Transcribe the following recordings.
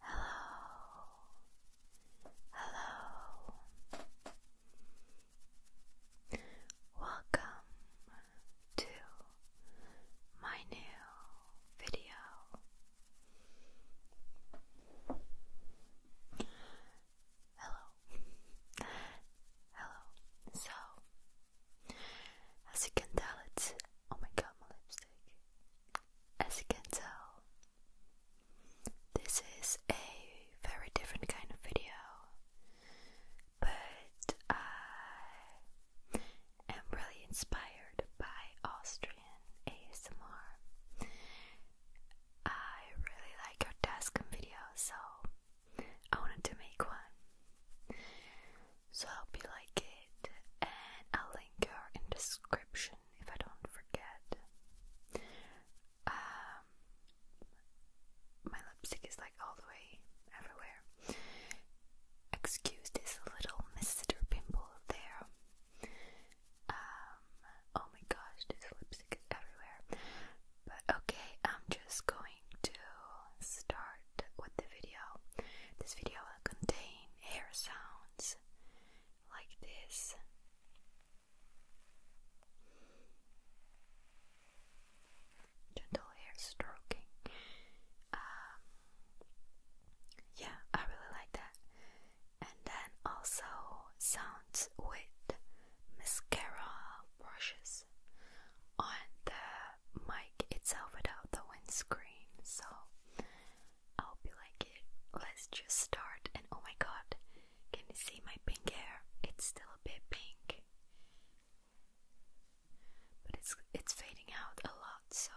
Hello, hello, welcome to my new video. Hello. Hello. So, as you can tell, it's. Oh my god, my lipstick. As you can tell, this is a very different kind of video, but I am really inspired by Austrian ASMR. I really like your desk video, so I wanted to make one. So I hope you like it, and I'll link her in description if I don't forget. Um, my lipstick is like all the way everywhere. Excuse this little mister pimple there. Um, oh my gosh, this lipstick everywhere. But okay, I'm just going to start with the video. This video will contain hair sounds like this. Gentle hair stroking. Um, yeah, I really like that and then also sounds with mascara brushes on the mic itself without the windscreen. So I will be like it. Let's just start. And oh my god, can you see my pink hair? It's still a bit pink, but it's it's fading out a lot. So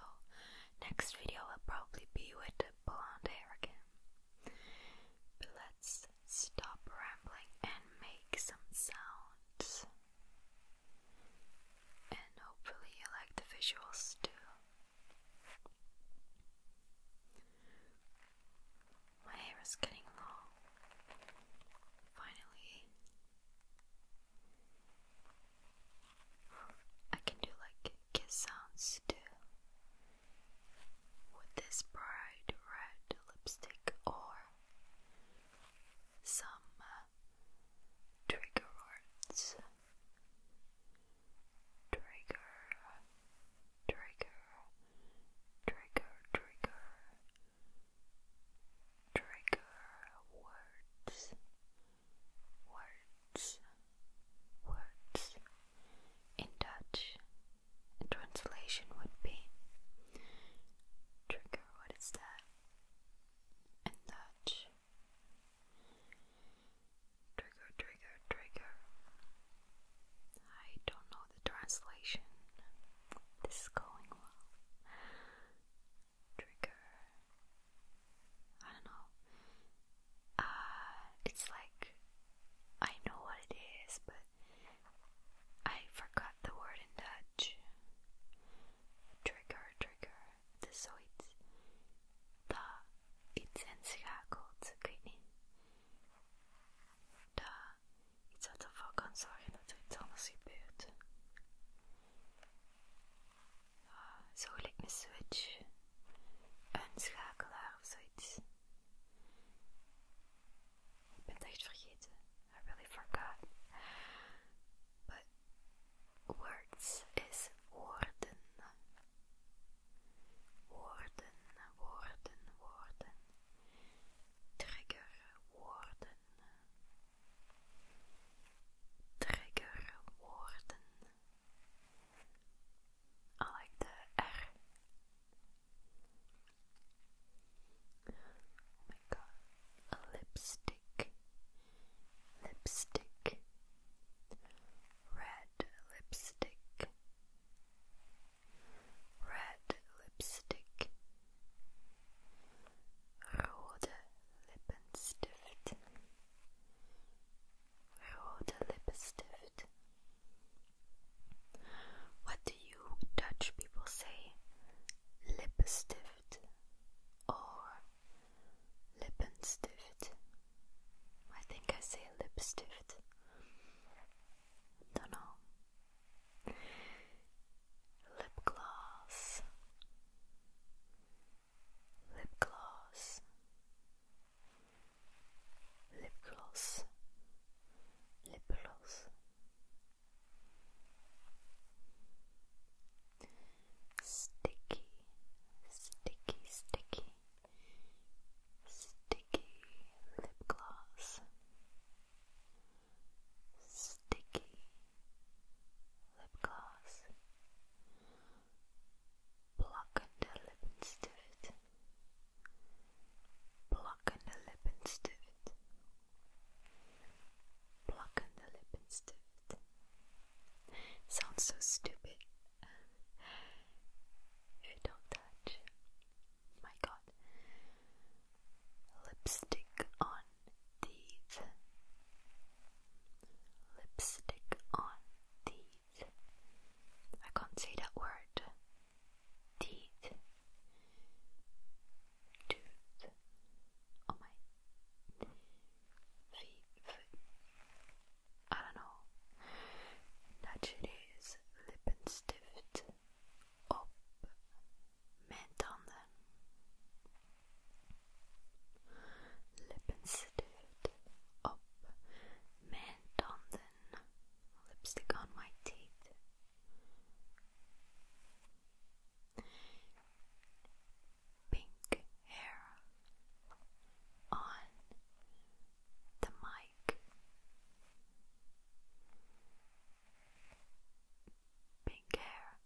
next video will probably be with blonde hair again let's stop rambling and make some sounds. And hopefully, you like the visuals too. My hair is getting long. Finally, I can do like make sounds too. With this bright red lipstick or some uh, trigger words. Trigger, trigger, trigger, trigger, trigger words words, words. In Dutch, translation would be trigger. What is that? In Dutch, trigger, trigger, trigger. I don't know the translation. This is going well. Trigger, I don't know. Uh, it's like I know what it is, but I forgot the word in Dutch. Trigger, trigger. Dus zoiets. Da iets inschakelt. Ik weet niet. Da iets wat ervoor kan zorgen dat er iets anders gebeurt. zo gelijk een switch, een schakelaar of zoiets. Ik ben het echt vergeten. I really forgot. But words is woorden. Woorden, woorden, woorden. Trigger woorden. Trigger woorden. I like the R. Oh my god, lipstick, lipstick, red lipstick, red lipstick, rode Lippenstift rolled a lipstift. What do you Dutch people say? Lipstift or lippenstift? I think I say lipstift. Don't know. Lip gloss lip gloss, lip gloss, lip gloss. Sticky, sticky, sticky, sticky lip gloss, sticky lip gloss, Pluck an Lippenstift. Pluck an Lippenstift. Pluck an Lippenstift. Sounds so stupid. If you don't touch. My god. Lipstick on the. Lipstick on teeth. I can't say that word. Teeth. Tooth. Oh my. Feet. I don't know. Naturally Lippenstift op mijn tanden. Lippenstift op mijn tanden. Lipstick on my teeth. Pink hair on the mic. Pink hair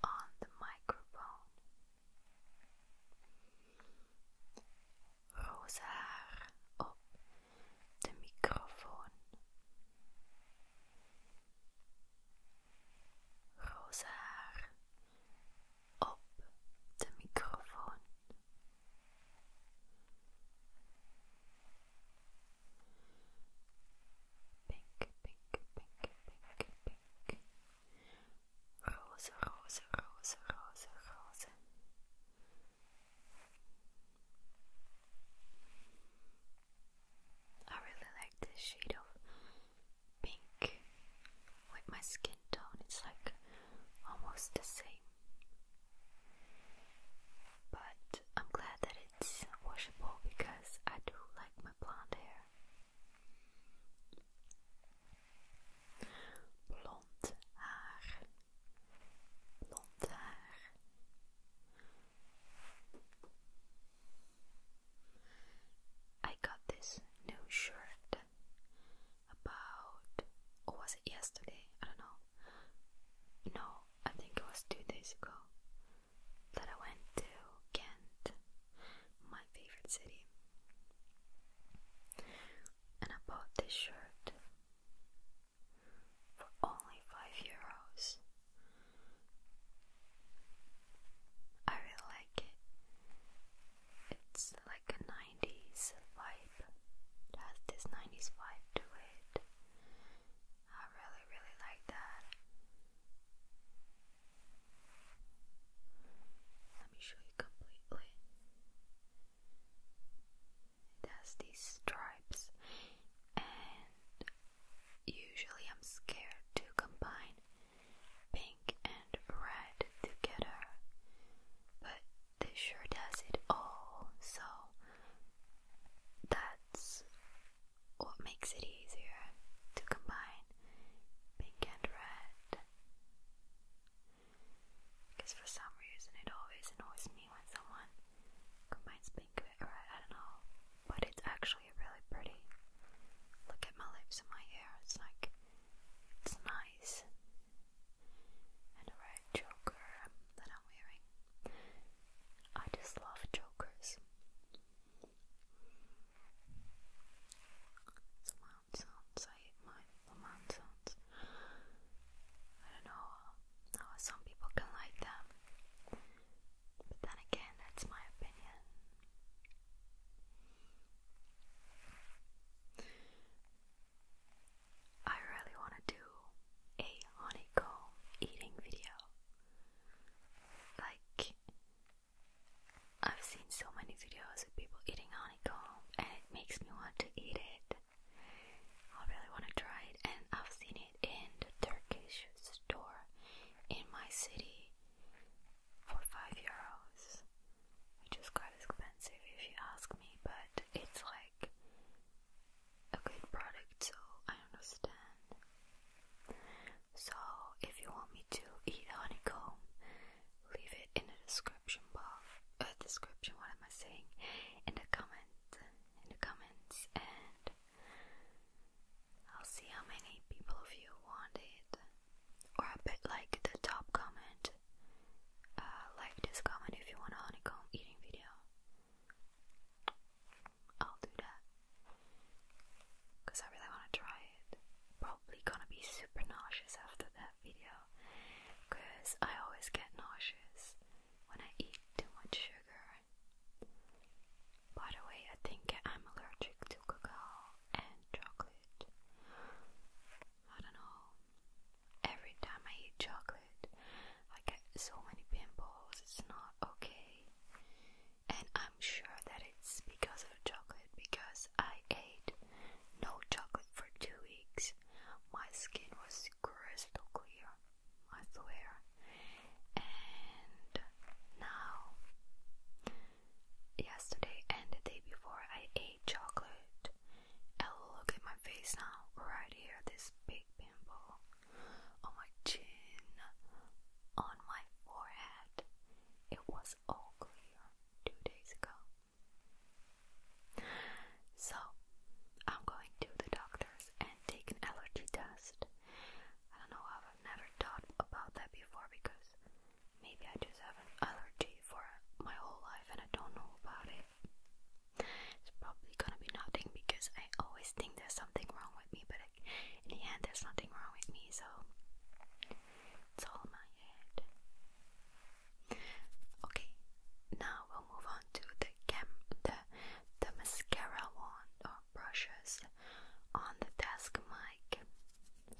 on the microphone. roze haar op de microfoon. Roze haar op de microfoon. Pink, pink, pink, pink, pink. Rose, Rose, Rose, Rose, Rose. I really like this shade of pink with my skin tone, it's like almost the same. But I'm glad that it's washable because I do like my blonde hair. Blond haar. Blond haar. I got this new shirt about was it yesterday? I don't know. No, I think it was two days ago that I went to Kent my favorite city. And I bought this shirt for only five euros. I really like it. It's like a 90s vibe. It has this 90s vibe to it. I really, really like that. Let me show you completely. It has these stripes, and usually I'm scared to combine pink and red together, but this sure does it all, so that's what makes it easier to combine pink and red. Because for some reason it always annoys me when someone combines pink with red, I don't know. But it's actually really pretty. Look at my lips and my hair, it's like, it's nice. And a red choker that I'm wearing. I just love Jokers. The mouth I hate the mouth I don't know some people can like them. But then again, that's my opinion. I really want to do a honeycomb eating video. Like, I've seen so many videos of people eating honeycomb and it makes me want to eat it. I really want to try it and I've seen it in the Turkish store in my city for 5 euros which is quite expensive if you ask me but it's like a good product so I understand. So, if you want me to eat honeycomb, leave it in the description box. A uh, description. What am I saying? In the comment. In the comments, and I'll see how many people of you want it. Or a bit like the top comment. Uh, like this comment if you want a honeycomb eating video. I'll do that because I really want to try it. Probably gonna be super nauseous after that video because I always get nauseous when I eat too much sugar. By the way, I think I'm allergic to cocoa and chocolate. I don't know. Every time I eat chocolate, I get so many pimples, it's not okay. And I I'm sure that it's because of chocolate because I ate no chocolate for two weeks. My skin was crystal clear, I swear. And now, yesterday and the day before, I ate chocolate. And look at my face now, right here, this big pimple on my chin, on my forehead. It was all clear two days ago. So, I'm going to the doctor's and take an allergy test. I don't know how I've never thought about that before because maybe I just have an allergy for my whole life and I don't know about it. It's probably gonna be nothing because I always think there's something wrong with me, but in the end, there's nothing wrong with me, so it's all my head. Okay, now we'll move on to the cam the the mascara wand or brushes on the desk mic.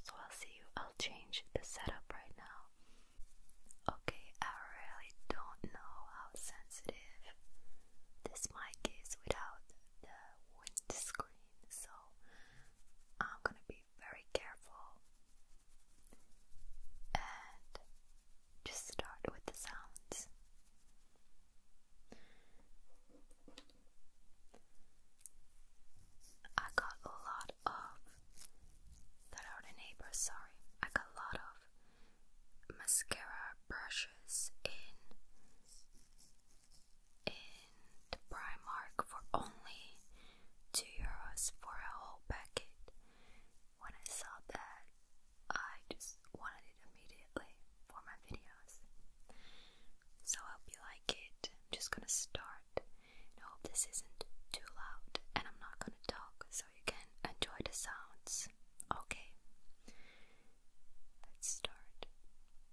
So I'll see you. I'll change the setup right now. Okay, I really don't know how sensitive this mic is without the windscreen, so I'm gonna be very careful and just start with the sounds. I got a lot of that are the neighbors, sorry. I got a lot of mascara brushes in in Primark for only 2 euros for a whole packet. When I saw that, I just wanted it immediately for my videos. So I hope you like it. I'm just gonna start. I hope this isn't too loud and I'm not gonna talk so you can enjoy the sounds. Okay, let's start.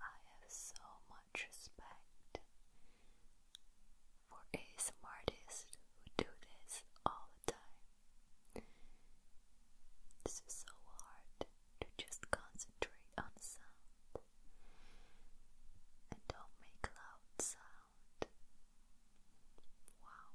I have so much respect for ASMR artists who do this all the time. This is so hard to just concentrate on sound and don't make loud sound. Wow.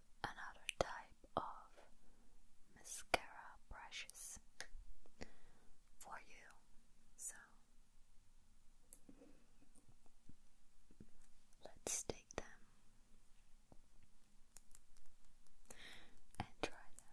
another type of mascara brushes for you. So let's take them and try them.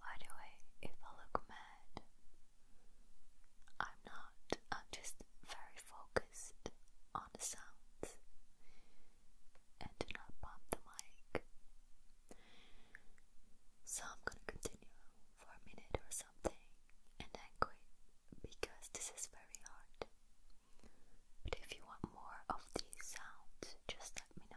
By the way, if I look mad, I'm not, I'm just very focused on the sounds and do not bump the mic. So I'm gonna continue for a minute or something and then quit because this is very hard. But if you want more of these sounds, just let me know.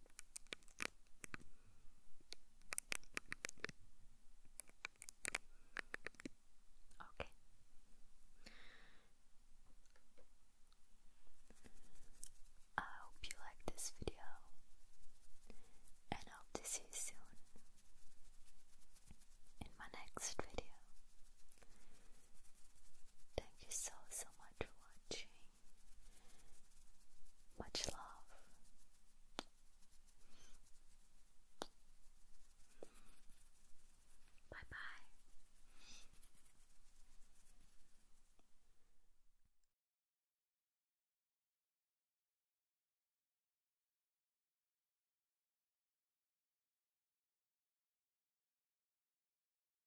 Okay. I hope you like this video and hope to see you soon in my next video. Thank you so so much for watching much love. Bye bye.